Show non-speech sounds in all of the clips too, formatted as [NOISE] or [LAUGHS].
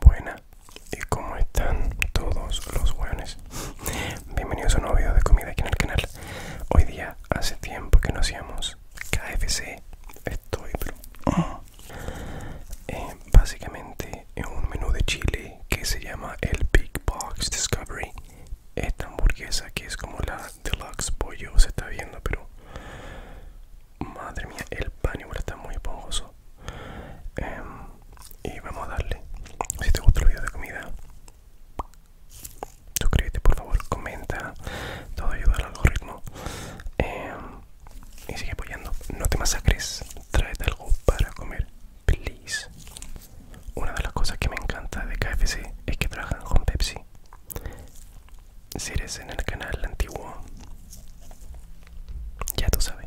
Buena y cómo están todos los hueones bienvenidos a un nuevo video de comida aquí en el canal hoy día hace tiempo que no hacíamos KFC estoy pero eh, básicamente es un menú de Chile que se llama el Big Box Discovery esta hamburguesa que es como la deluxe pollo se está viendo pero madre mía el pan está muy esponjoso Em, y vamos a darle si te gusta el video de comida suscríbete por favor comenta todo ayuda al algoritmo em, y sigue apoyando no te masacres tráete algo para comer please una de las cosas que me encanta de KFC es que trabajan con Pepsi si eres en el canal antiguo ya tú sabes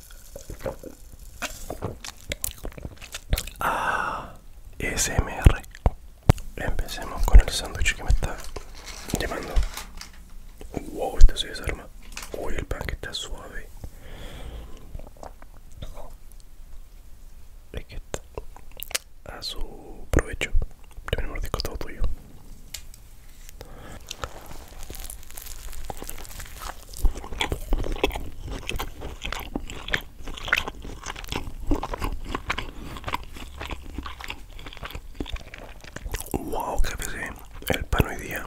Ah, SMR. Empecemos con el sándwich que me está llamando. Wow, esto se desarma. Uy, el pan que está suave. Es a su provecho. Tenemos mordisco todo tuyo. Wow, qué pesé el pan hoy día.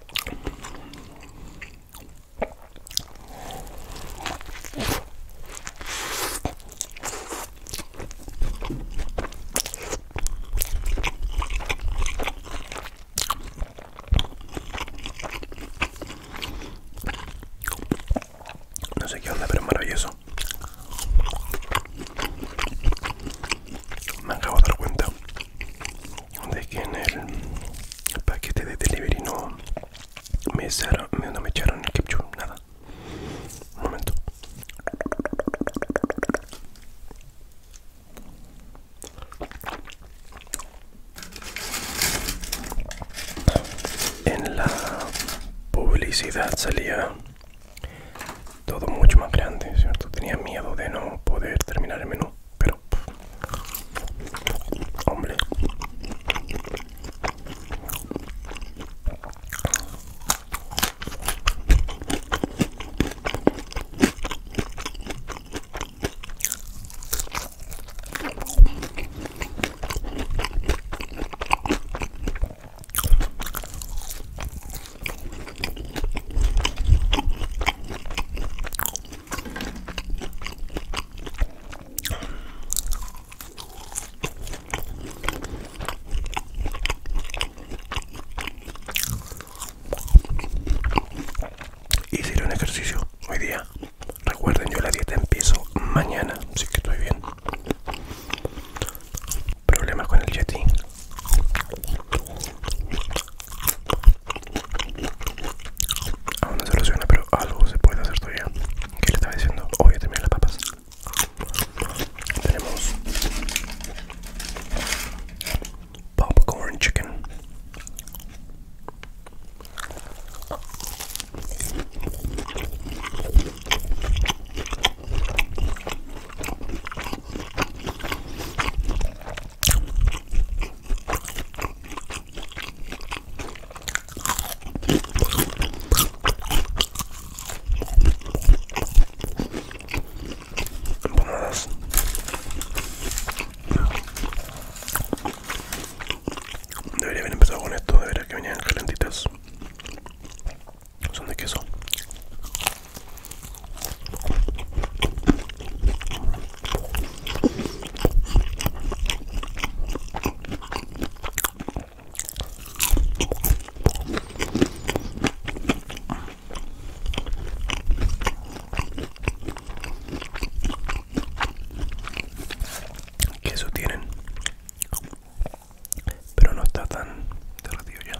No sé qué onda, pero es maravilloso. Me acabo de dar cuenta de que en el paquete de delivery no me, echaron, no me echaron el ketchup, nada. Un momento. En la publicidad salía todo mucho más grande, ¿cierto? Tenía miedo de no poder terminar el menú, pero... Hombre. Hice un ejercicio hoy día. Recuerden, yo la dieta empiezo mañana, así que estoy bien. Problemas con el jetting, Aún no se lo pero algo se puede hacer todavía. ¿Qué le estaba diciendo? Obvio, oh, también las papas. Tenemos popcorn chicken. Empanadas. Debería haber empezado con esto, debería veras que venían calentitas. Son de queso. Queso tienen, pero no está tan derretido ya.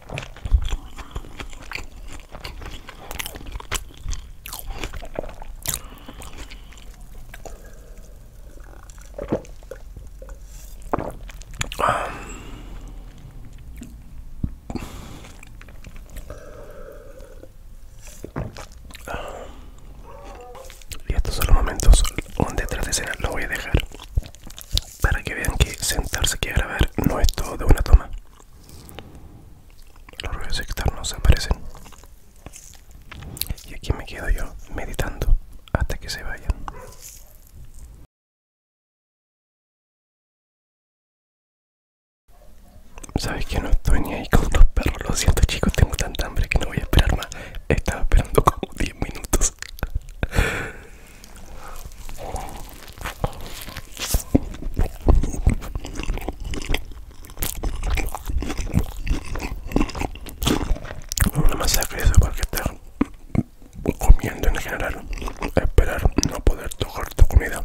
Y estos son los momentos donde tras de escena lo voy a dejar para que vean que sentarse aquí a grabar no es todo de una toma. Los ruidos externos aparecen. Y aquí me quedo yo meditando hasta que se vayan. Sabes que no estoy ni ahí con los perros, lo siento chicos, tengo tanta hambre que no voy a esperar más. Estaba esperando como 10 minutos. Una masacre es igual que estar comiendo en general, esperar no poder tocar tu comida.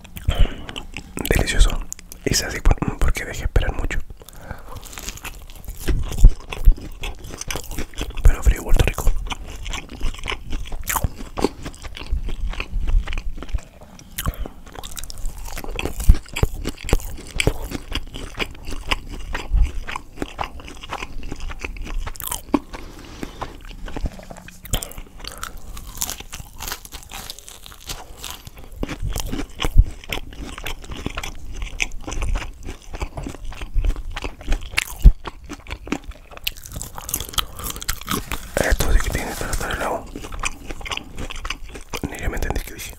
Delicioso. Es así mm, porque dejé esperar mucho. Pero frío vuelto Rico. Esto sí que tiene que estar helado. Ni ya me entendí que dije.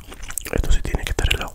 Esto sí tiene que estar helado.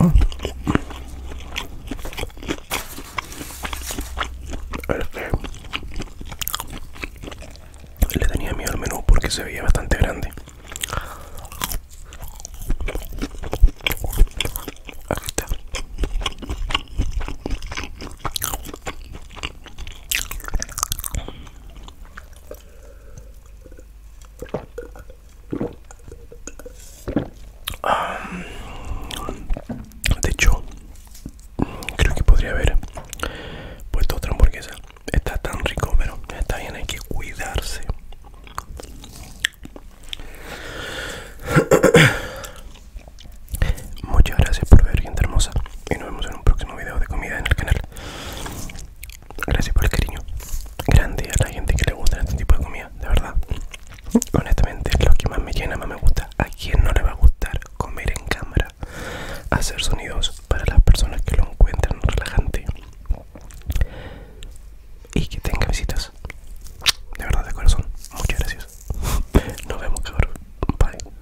Ah. Este. le tenía miedo al menú porque se veía bastante grande. Ah, de hecho, creo que podría haber puesto otra hamburguesa. Está tan rico, pero está bien, hay que cuidarse. Muchas gracias por ver, gente hermosa. Y nos vemos en un próximo video de comida en el canal. Gracias por el cariño grande a la gente que le gusta este tipo de comida, de verdad. Honestamente, lo que más me llena, más me gusta. ¿A quién no le va a gustar comer en cámara? Hacer sonidos para las personas que lo encuentran relajante y que tenga visitas. De verdad, de corazón. Muchas gracias. [LAUGHS] Nos vemos, cabrón. Bye.